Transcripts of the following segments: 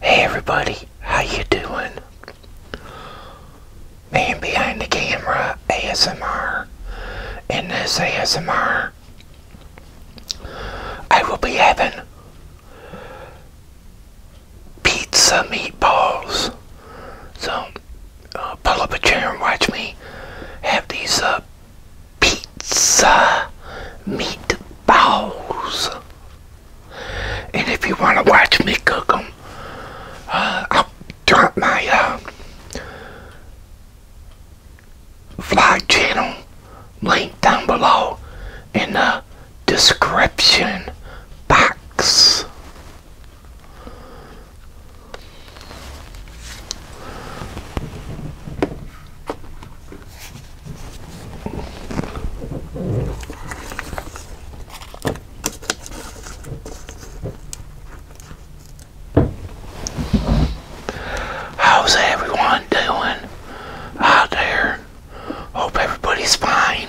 Hey everybody, how you doing? Man behind the camera ASMR. and this ASMR, I will be having pizza meatballs. So uh, pull up a chair and watch me have these uh, pizza pizza meatballs. And if you want to watch me cook them, uh, I'll drop my uh, vlog channel link down below in the description box. How's everyone doing out there? Hope everybody's fine.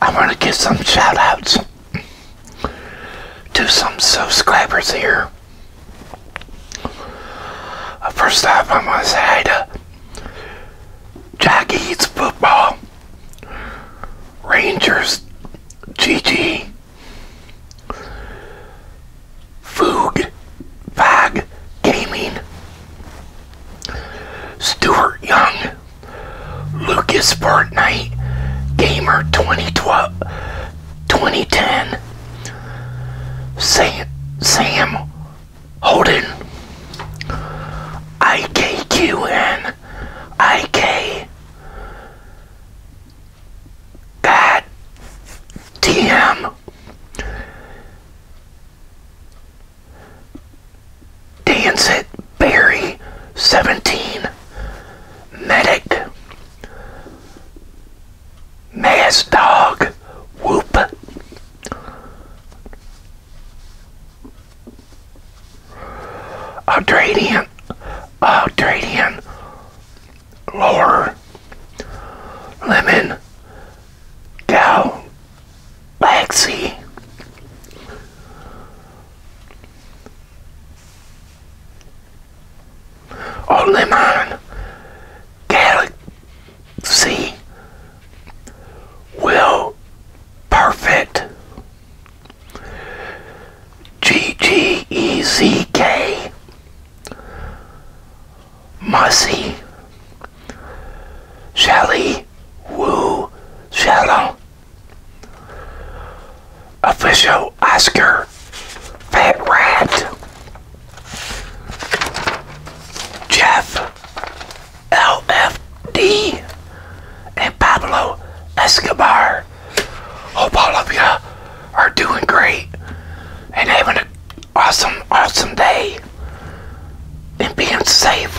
I want to give some shoutouts to some subscribers here. Uh, first off, I want to say hi to Jack Eats Football, Rangers GG, Foog Fag Gaming, Stuart Young, Lucas Fortnite, Gamer 2012, 2010, Sam, Sam Holden, IKQN, IK, Bad TM, Dance it, Barry 17, Medic, Mass Dog, Whoop. Audradian, Audradian, lower lemon cow laxy or oh, lemon galaxy will perfect G G E Z K Mussy, Shelly Woo Shadow, Official Oscar Fat Rat, Jeff LFD, and Pablo Escobar. Hope all of you are doing great and having an awesome, awesome day and being safe.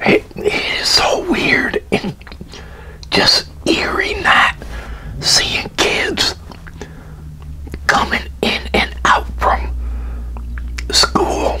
it is so weird and just eerie not seeing kids coming in and out from school.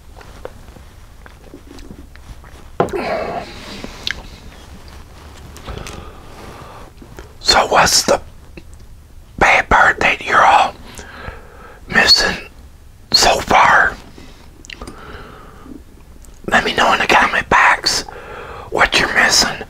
So what's the bad part that you're all missing so far? Let me know when I the my box what you're missing.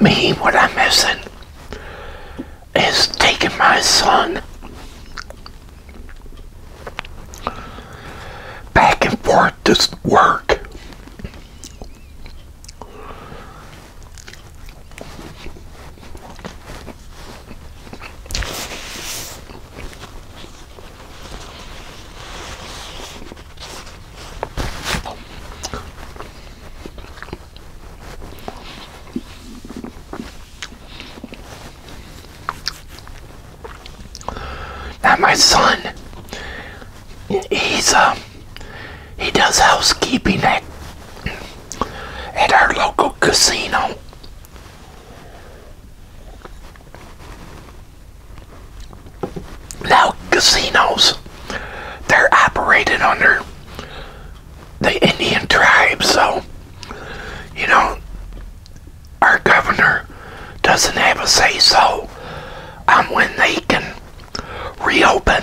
Me, what I'm missing is taking my son back and forth doesn't work. Now my son, he's uh, he does housekeeping at at our local casino. Now casinos, they're operated under the Indian tribes. so, you know, our governor doesn't have a say-so on um, when they can reopen.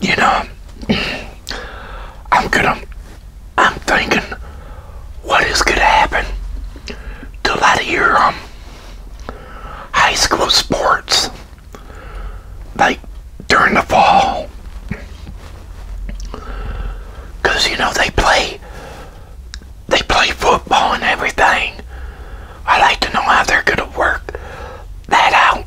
you know, I'm gonna, I'm thinking what is gonna happen to a lot of your um, high school sports, like during the fall. Cause you know they play, they play football and everything I like to know how they're going to work that out.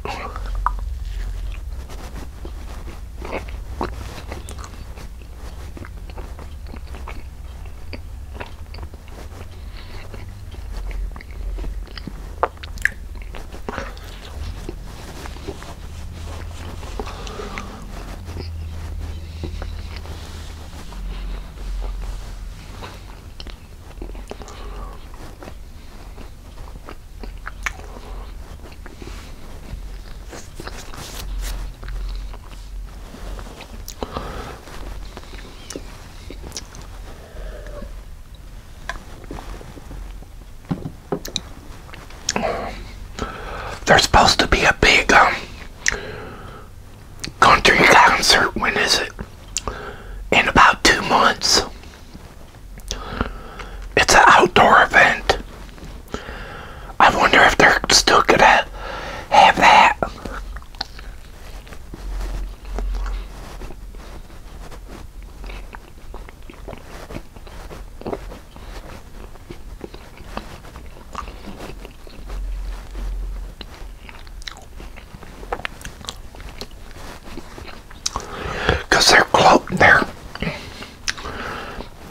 There's supposed to be a big um, country concert. When is it? In about two months. It's an outdoor event. I wonder if they're still gonna have that. Because they're closing there.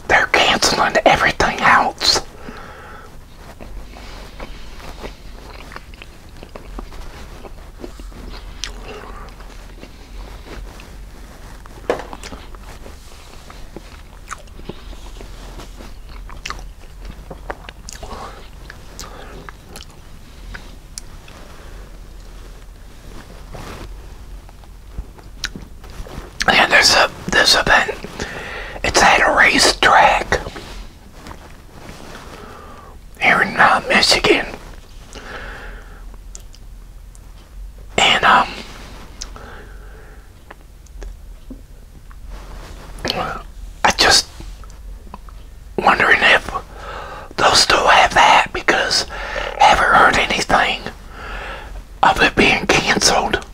They're canceling everything else. And there's a this event. It's at a racetrack here in uh, Michigan. And um I just wondering if they'll still have that because haven't heard anything of it being canceled.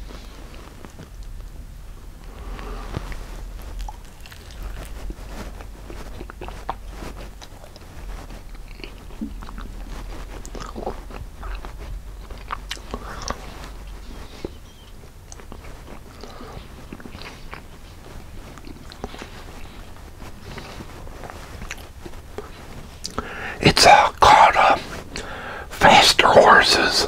It's all caught up. Faster Horses.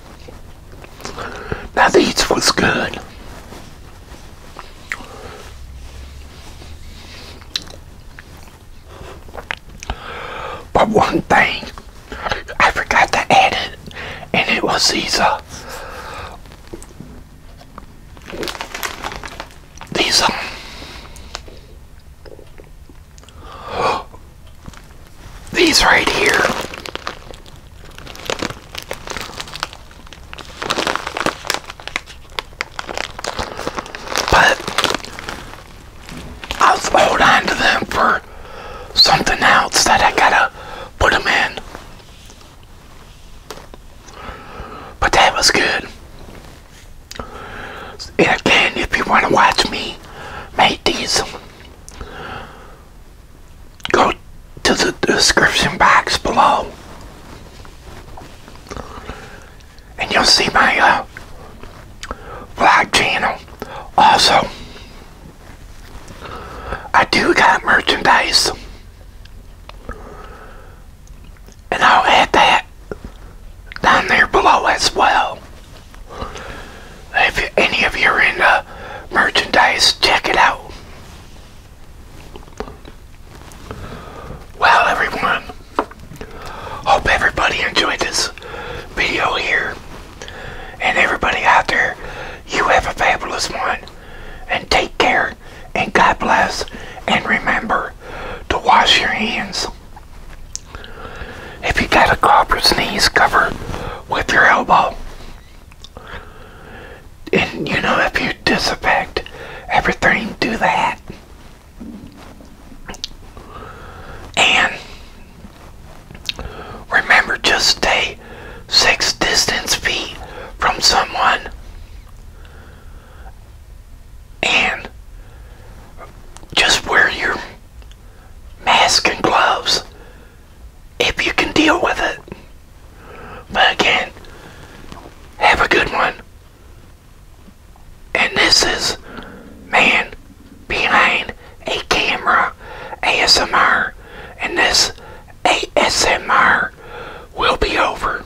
Now these was good. But one thing I forgot to add it, and it was these uh, these um, These right here. But I'll hold on to them for something else that I gotta put them in. But that was good. And again, if you want to watch me make these Go to the description box below and you'll see my uh, vlog channel. Also, I do got merchandise. And I'll add that down there below as well. If any of you are in merchandise, check it out. Well, everyone, hope everybody enjoyed this video here. And everybody out there, you have a fabulous one. And take care, and God bless, and remember to wash your hands. If you got a cough knees, sneeze, cover with your elbow. And you know, if you disinfect everything, do that. And remember, just stay six distance feet from someone. And just wear your mask and gloves if you can deal with it. But again, have a good one. And this is Man Behind a Camera ASMR. And this ASMR will be over.